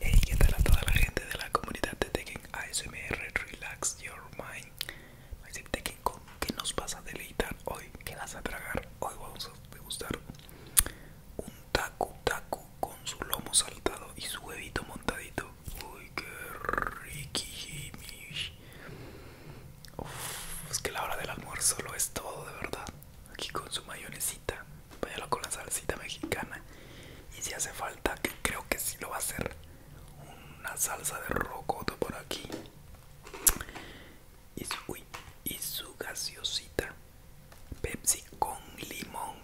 Hey, ¿qué tal a toda la gente de la comunidad de Tekken ASMR? Relax your mind. Pues Tekken, qué nos vas a deleitar hoy? ¿Qué vas a tragar? Hoy vamos a degustar un taco taco con su lomo saltado y su huevito montadito. Uy, qué riquísimo. Uf, es que la hora del almuerzo lo es todo, de verdad aquí con su mayonesita, váyalo con la salsita mexicana y si hace falta, que creo que sí lo va a hacer, una salsa de rocoto por aquí y su, y su gaseosita Pepsi con limón.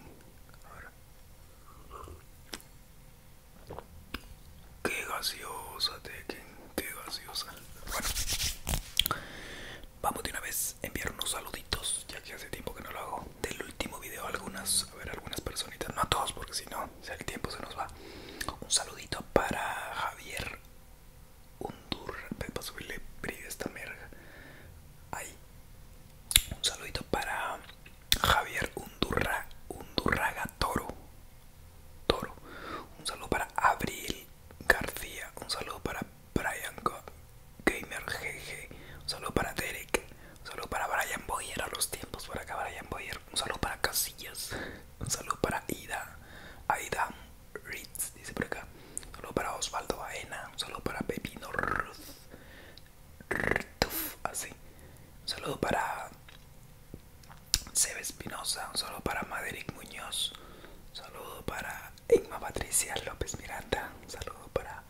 Qué gaseosa, Tekken, qué gaseosa. Bueno, Vamos de una vez a enviar unos saluditos, ya que hace tiempo que no lo hago. Del último video algunas, a ver, algunas personitas, no a todos porque si no, se el tiempo se nos va. Un saludito para Javier Undur, para subirle le esta merga. Ahí. Un saludito para Javier Undurra, Undurra Toro. Toro. Un saludo para Abril García. Un saludo para Brian Gamer GG. Un saludo para Derek. Un saludo para Brian Boyer a los tiempos. Por acá Brian Boyer. Un saludo para Casillas. Un saludo para Ida. Aida Ritz. Dice por acá. Un saludo para Osvaldo Baena. Un saludo para Pepino Ruth. ruth así. Un saludo para Seba Espinosa, un saludo para Maderick Muñoz, un saludo para Emma Patricia López Miranda, un saludo para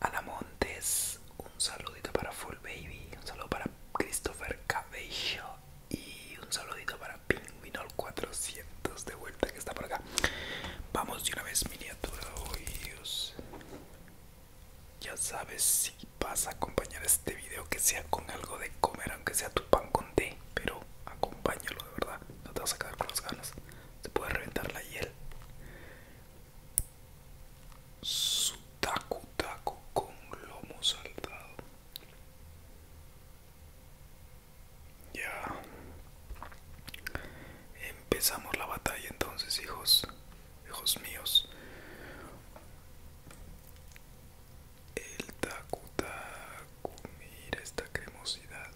Ana Montes, un saludito para Full Baby, un saludo para Christopher Cabello y un saludito para Pingüino 400 de vuelta que está por acá. Vamos de una vez miniatura, Ya sabes si vas a acompañar este video que sea con algo de comer, aunque sea tu pan con té, pero acompáñalo de verdad, no te vas a quedar con las ganas, Se puede reventar la hiel. Su taco taco con lomo saltado. Ya. Empezamos la batalla entonces, hijos, hijos míos el tacu mira esta cremosidad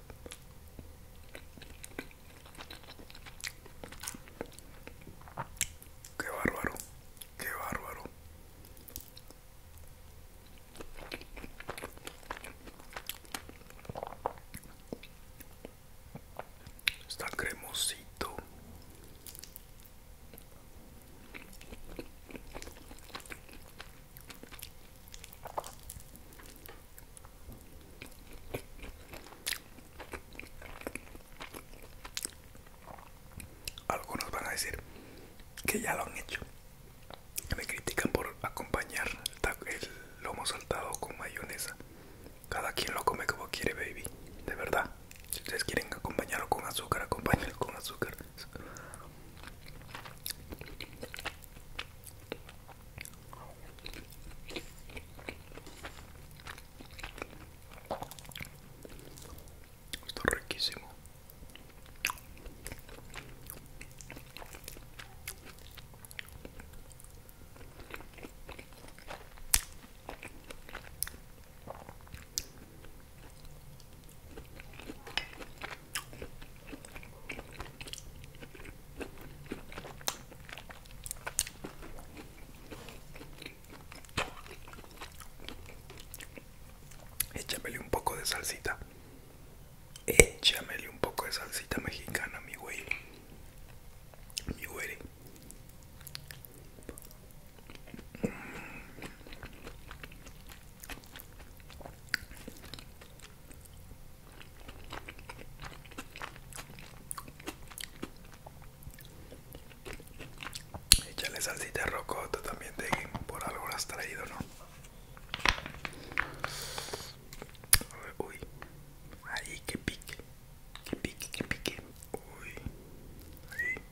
qué bárbaro qué bárbaro Está cremosito algunos van a decir que ya lo han hecho. Me critican por acompañar el lomo saltado con mayonesa. Cada quien lo come como quiere, baby. De verdad. Si ustedes quieren acompañarlo con azúcar, acompáñenlo con azúcar. Está riquísimo. Echamele un poco de salsita. Échamele un poco de salsita mexicana, mi güey. Mi güey. Echale salsita rocoto también, de por algo lo has traído, ¿no? Uy, ahí que pique, que pique, que pique. Uy, ahí.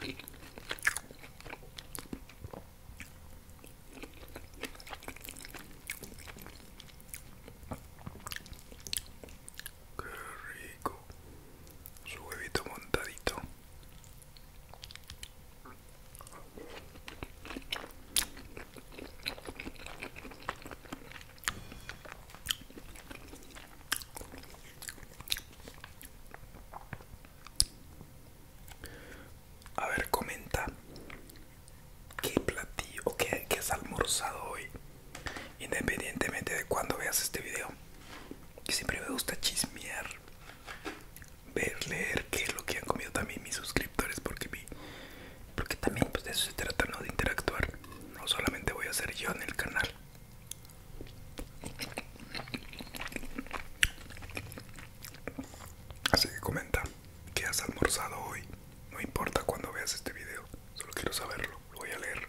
Qué rico, su huevito montadito. A ver, comenta qué platillo o qué, has almorzado hoy, independientemente de cuando veas este video. siempre me gusta chismear, ver, leer qué es lo que han comido también mis suscriptores, porque mi, porque también pues, de eso se trata, ¿no? De interactuar. No solamente voy a ser yo en el canal. Así que comenta qué has almorzado hoy. No importa cuando veas este video, solo quiero saberlo. Lo voy a leer.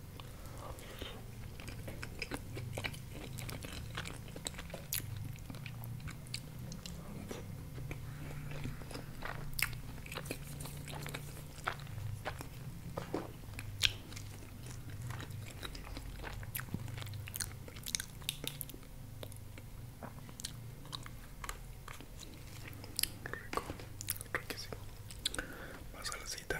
Rico, riquísimo. Más salsita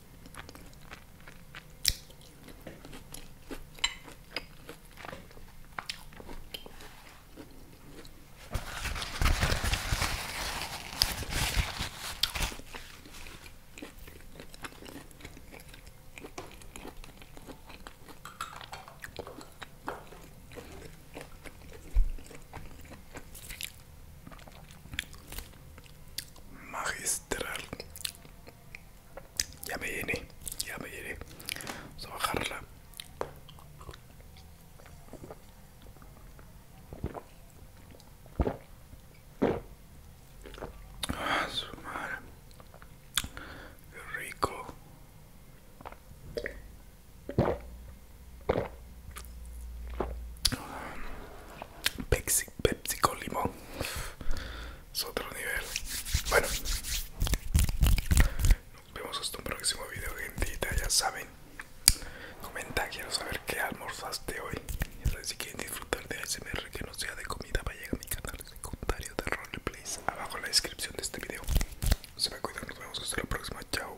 magistral ya me llené, ya me llené. Vamos a bajarla. Ah, su madre. Qué rico. Pepsi, Pepsi con limón. Es otro nivel. Bueno. Nos vemos hasta un próximo video, gente. Ya saben. Comenta, quiero saber qué almorzaste hoy. Y si quieren disfrutar de ASMR que no sea de comida, llegar a mi canal secundario de Roleplays. Abajo en la descripción de este video. Se me nos vemos hasta el próximo, Chao.